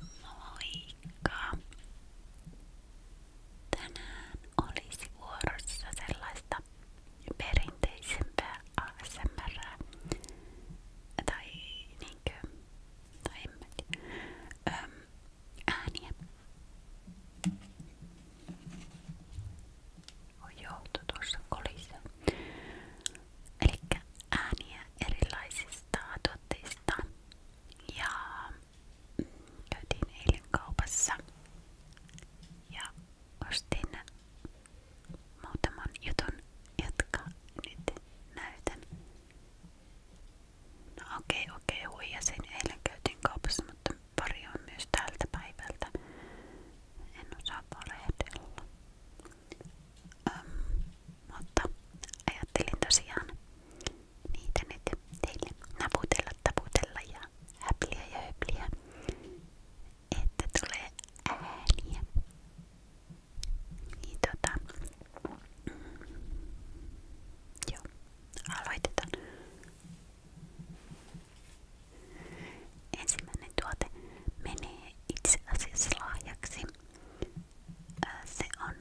Moikka! Tänään olisi vuorossa sellaista perinteisempää ASMR tai niinkö, tai en mä tiedä, Öm, ääniä. Voi joutu tuossa kolissa eli ääniä erilaisista tuotteista ja mm, käytiin eilen kaupassa ja ostin muutaman jutun, jotka nyt näytän. No okei, okay, okei, okay, huijasin. Eilen käytiin kaupassa, mutta pari on myös tältä päivältä. En osaa valehdella. Öm, mutta ajattelin tosiaan niitä nyt teille naputella, taputella ja häpliä ja höpliä, että tulee ääniä. Niin tota, mm, joo, aloitetaan. Ensimmäinen tuote menee itse asiassa lahjaksi Äh, se on,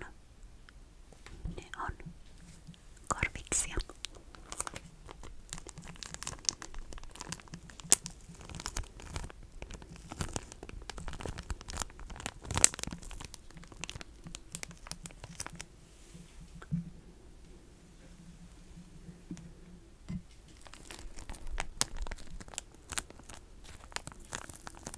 ne on korviksia.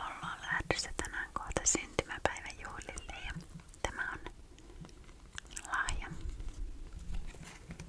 Ollaan lähdössä tänään kohta syntymäpäivän juhlille ja tämä on lahja.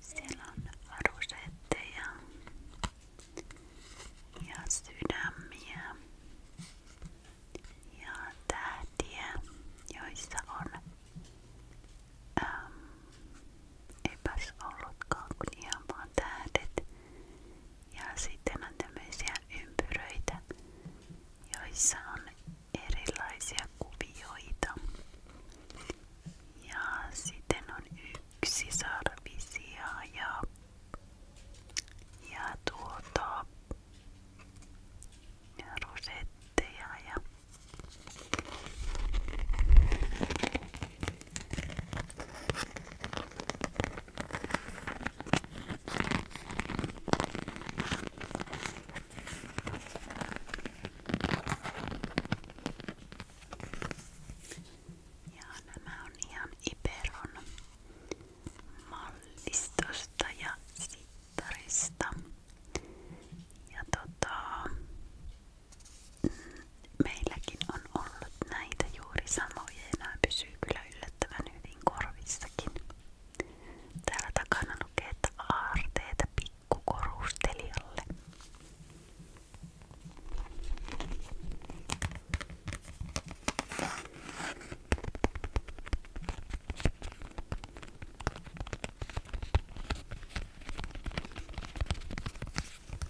Siellä on varusetteja ja sydämiä ja tähtiä, joissa on äm, Eipäs ollutkaan kuin ihan vaan tähdet. Ja sitten on tämmöisiä ympyröitä, joissa on erilaisia kuvioita. Ja sitten on yksisarvisia ja, ja tuota ja rosetteja ja ja nämä on ihan Iberon mallistosta ja sittarista. Ja tota, meilläkin on ollut näitä juuri samoja ja nämä pysyy kyllä yllättävän hyvin korvissakin. Täällä takana lukee, että aarteita pikkukorustelijalle.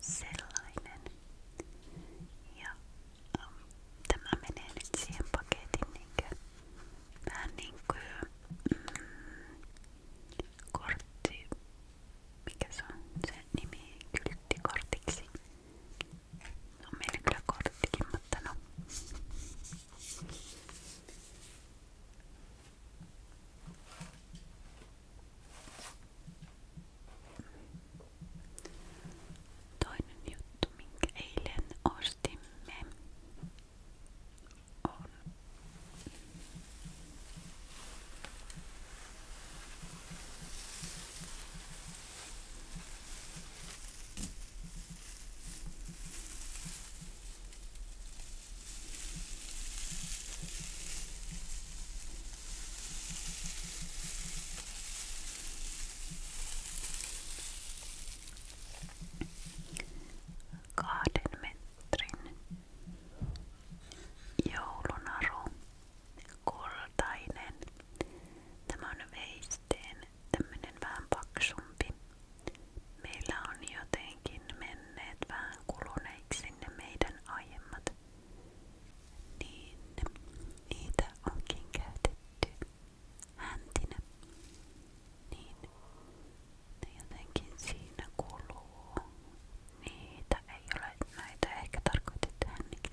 Sellainen. Ja um, tämä menee nyt siihen paketin niinkö, vähän niinkö mm, kortti, mikä se on se nimi, kylttikortiksi. No meillä kyllä korttikin, mutta no. Toinen juttu, minkä eilen ostimme, on Kahden metrin joulunaru, kultainen. Tämä on veisteen tämmönen vähän paksumpi Meillä on jotenkin menneet vähän kuluneiksi ne meidän aiemmat. Niin niitä onkin käytetty häntinä. Niin ne jotenkin siinä kuluu. Niitä ei ole näitä ehkä tarkoitettu hännikin.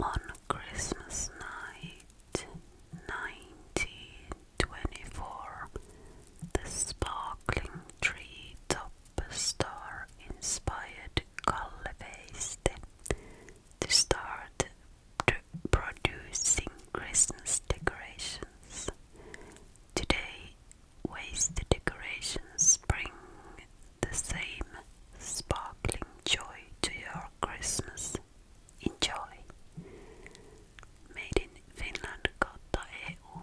on Christmas night 1924 the sparkling tree top star inspired Kalleveiste to start producing Christmas decorations. Today waist decorations bring the same sparkling joy to your Christmas. Enjoy! Made in Finland kautta EU.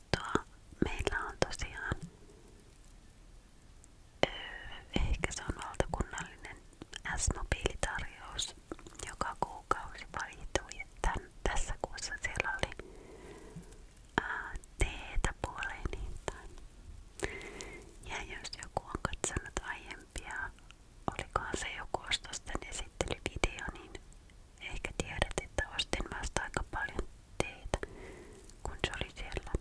katsoa. Meillä on tosiaan, ehkä se on valtakunnallinen S-mobiilitarjous joka kuukausi valitui. Tän, tässä kuussa siellä oli teetä puoleen hintaan. Ja jos joku on katsonut aiempia, olikohan se joku ostosten esittelyvideo, niin ehkä tiedät, että ostin vasta aika paljon teitä, kun se oli siellä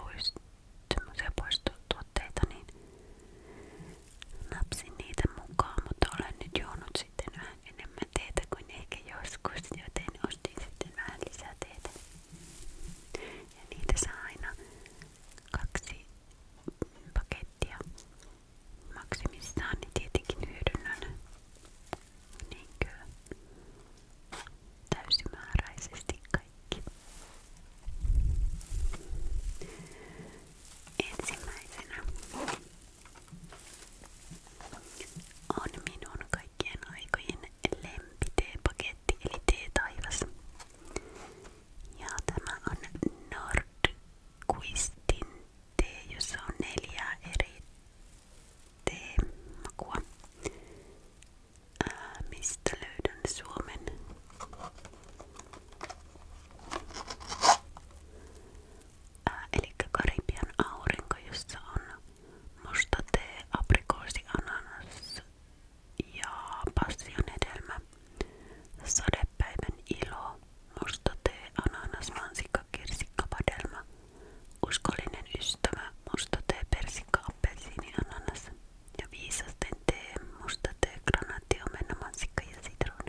pois, semmoisia poistuotteita, niin napsin niitä mukaan, mutta olen nyt juonut sitten vähän enemmän teitä kuin ehkä joskus, joten ostin sitten vähän lisää teitä. Ja niitä saa aina kaksi pakettia maksimissaan, niin tietenkin hyödynnän niinkö täysimääräisesti kaikki. Ensimmäisenä on minun kaikkien aikojen lempiteepaketti eli tee taivas. Ja tämä on Nordquistin tee, jossa on neljä eri teemakua. Ää, mistä löydän Suomen? Ää, eli Karibian aurinko, jossa on musta tee, aprikoosi, ananas ja passion hedelmä. Sadepäivän ilo, musta tee, ananas, mansikka, kirsikka, padelma, Uskollinen ystävä, musta tee, persikka, appelsiini, niin ananas ja viisasten tee, musta tee, granaatti, omena, mansikka ja sitruuna.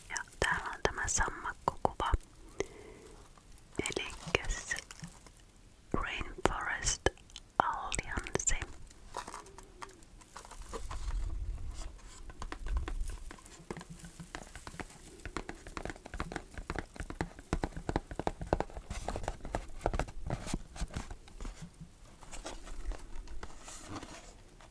Ja täällä on tämä sammakkokuva. Eli Rainforest Alliance.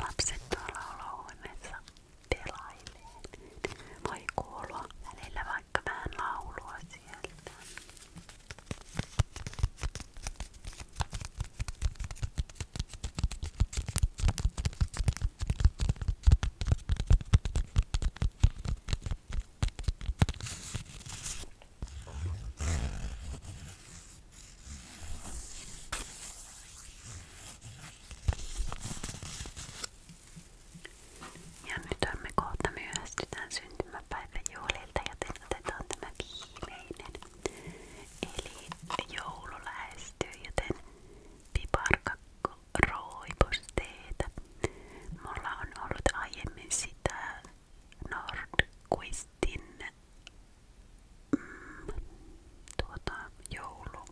Lapset tuolla olohuoneessa pelailee. Voi kuulua välillä vaikka vähän laulua sieltä. Ja nyt me kohta myöhästytään syntymäpäivän juhlilta, joten otetaan tämä viimeinen Eli joulu lähestyy, joten piparkakku roiposteita. Mulla on ollut aiemmin sitä Nordquistin mm, tuota, joulu.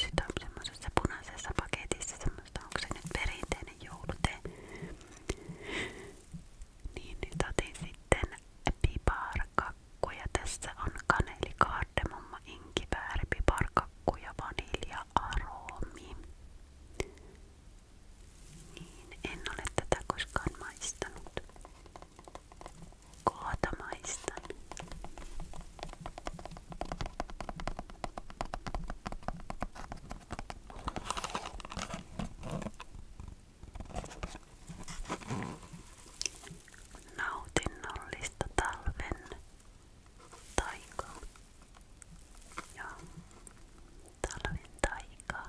Sitä on semmoisessa punaisessa paketissa, semmoista onko se nyt perinteinen joulute. Niin, nyt otin sitten piparkakkuja. Tässä on kaneli, kardemomma, inkivääri, piparkakku ja vanilja-aroomi. Niin, en ole tätä koskaan maistanut. Kohta maistan. Nautinnollista talven taikaa. Joo, talven taikaa.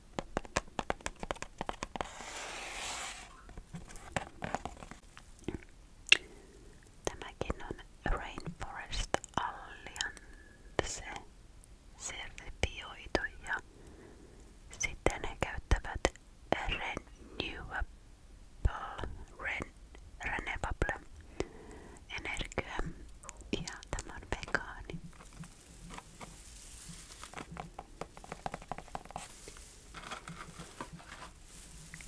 Tämäkin on Rainforest Alliance sertifioitu ja sitten he käyttävät renewable, ren, renewable energiaa ja tämä on vegaani.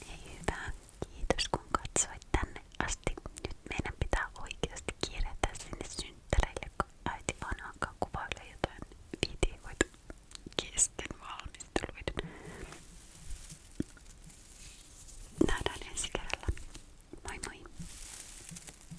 Hei hyvä, kiitos kun katsoit tänne asti. Nyt meidän pitää oikeasti kiiretä sinne synttäreille, kun äiti vaan alkaa kuvailla jotain videoita kesken valmisteluiden. Nähdään ensi kerralla. Moi moi!